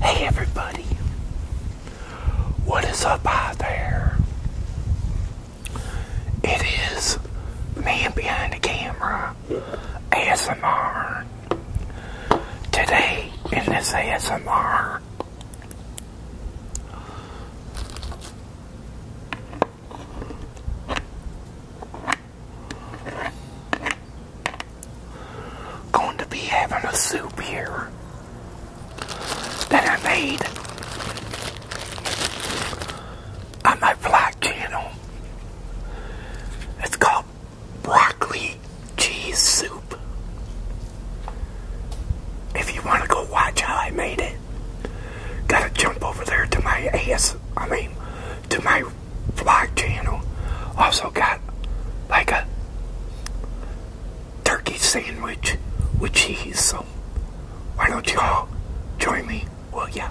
Hey everybody, what is up out there? It is man behind the camera, ASMR. Today in this ASMR, Going to be having a soup here that I made on my vlog channel. It's called broccoli cheese soup. If you want to go watch how I made it, Gotta jump over there to my ass, I mean, to my vlog channel. Also got like a turkey sandwich with cheese, so why don't you all join me, Well, yeah.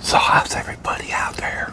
So how's everybody out there?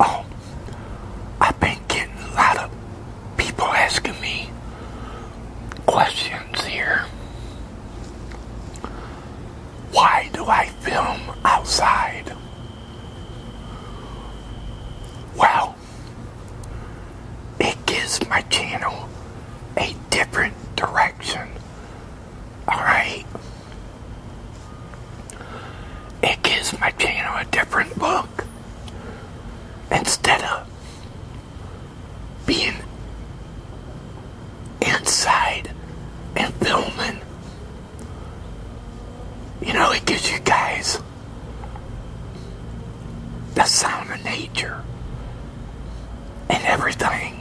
Oh, I've been getting a lot of people asking me questions here. Why do I film outside? Well, it gives my channel a different direction. Alright? It gives my channel a different look. Instead of being inside and filming you know, it gives you guys the sound of nature and everything.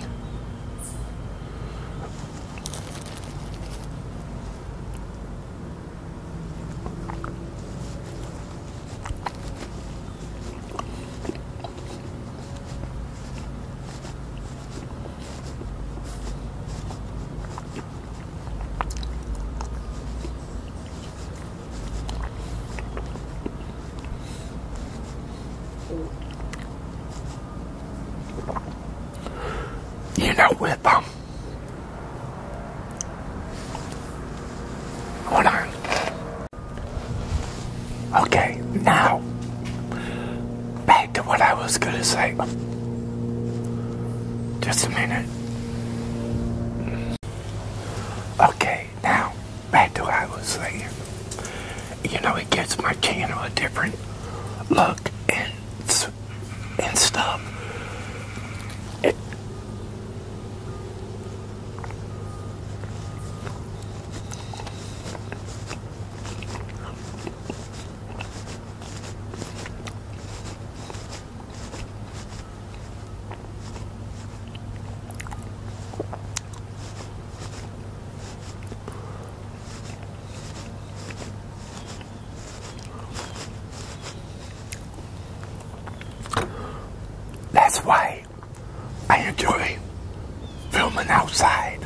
You know, with um, hold on. Okay, now back to what I was going to say. Just a minute. Okay, now back to what I was saying. You know, it gives my channel a different look and and stuff. That's why I enjoy filming outside.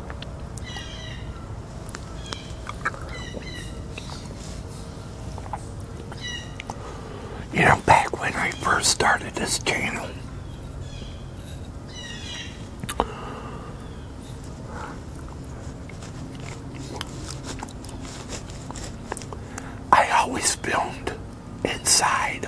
You know, back when I first started this channel, I always filmed inside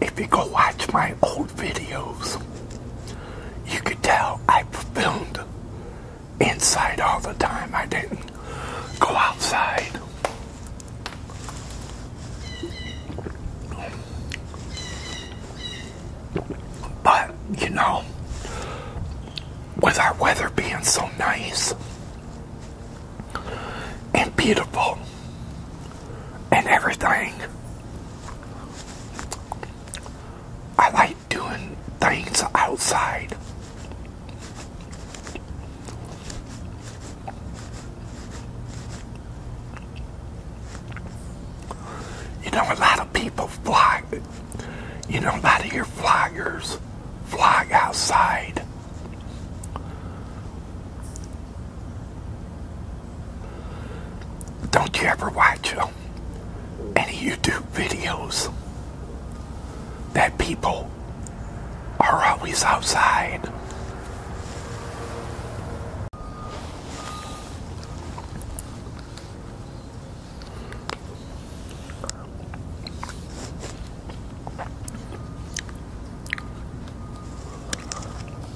if you go watch my old videos, you could tell I filmed inside all the time. I didn't go outside. But, you know, with our weather being so nice and beautiful, and everything. I like doing things outside. You know, a lot of people fly, you know, a lot of your flyers fly outside. Don't you ever watch um, any YouTube videos that people are always outside?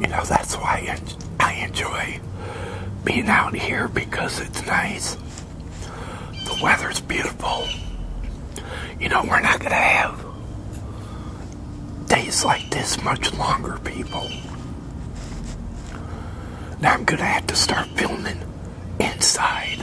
You know, that's why I enjoy being out here because it's nice. The weather's beautiful. You know, we're not going to have days like this much longer, people. Now I'm going to have to start filming inside.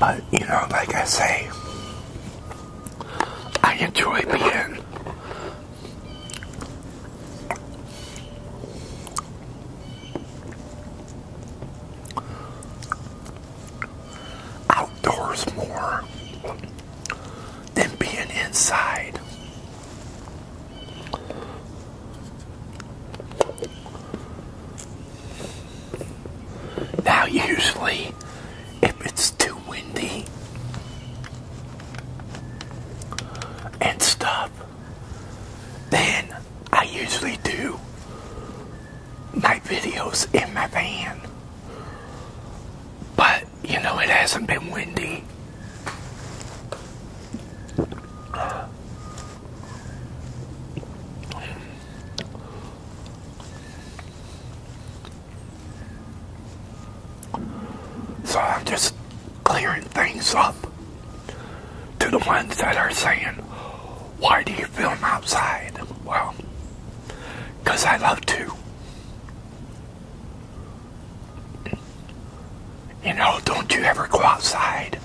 But, you know, like I say, I enjoy being outdoors more than being inside. Now, usually, if it's too windy and stuff, then I usually do my videos in my van. But, you know, it hasn't been windy. So I'm just clearing things up to the ones that are saying, why do you film outside? Well, because I love to. You know, don't you ever go outside?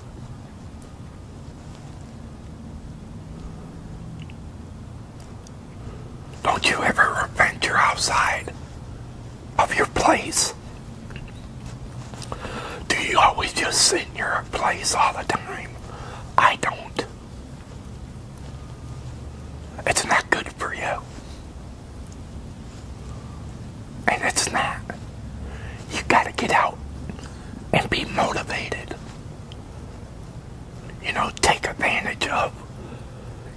Don't you ever venture outside of your place? Do you always just sit in your place all the time? I don't. It's not good for you. And it's not. You gotta get out and be motivated. You know, take advantage of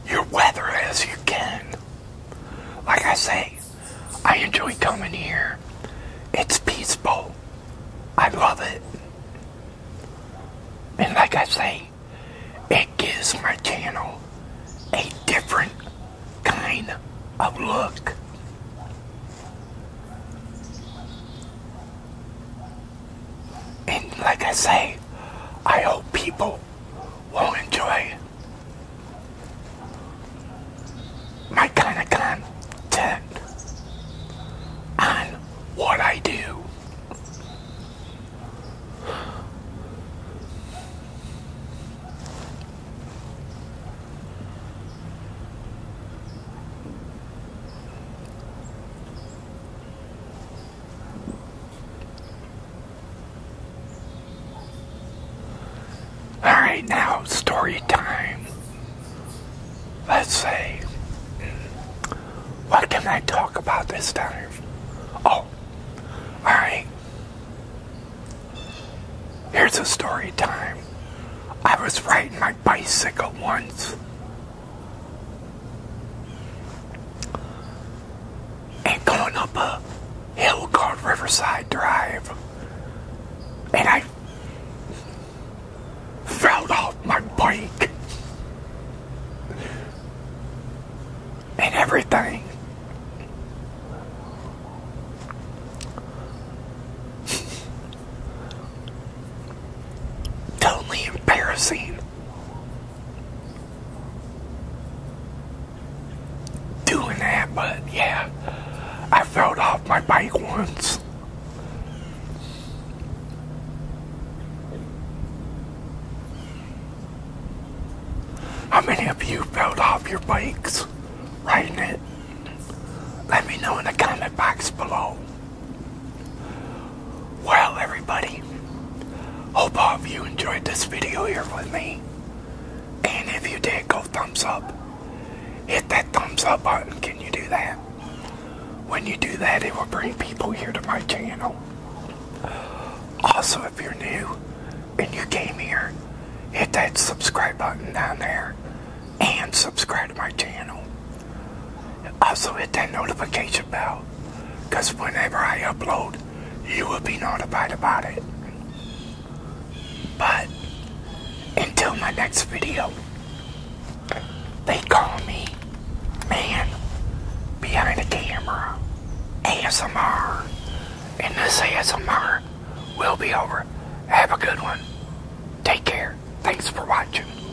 your weather as you can. Like I say, I enjoy coming here. It's peaceful. I love it. And like I say, it gives my channel a different kind of look. And like I say, I hope people will enjoy my kind of content and what I do. Alright, now story time. Let's say, what can I talk about this time? Oh, alright. Here's a story time. I was riding my bicycle once and going up a hill called Riverside Drive. And I fell off my bike and everything. Totally embarrassing doing that, but yeah, I fell off my bike once. How many of you fell off your bikes riding it? Let me know in the comment box below. Well, everybody, hope all of you enjoyed this video here with me. And if you did, go thumbs up. Hit that thumbs up button. Can you do that? When you do that, it will bring people here to my channel. Also, if you're new and you came here, hit that subscribe button down there and subscribe to my channel. Also hit that notification bell because whenever I upload you will be notified about it. But until my next video they call me man behind the camera ASMR and this ASMR will be over. Have a good one. Take care. Thanks for watching.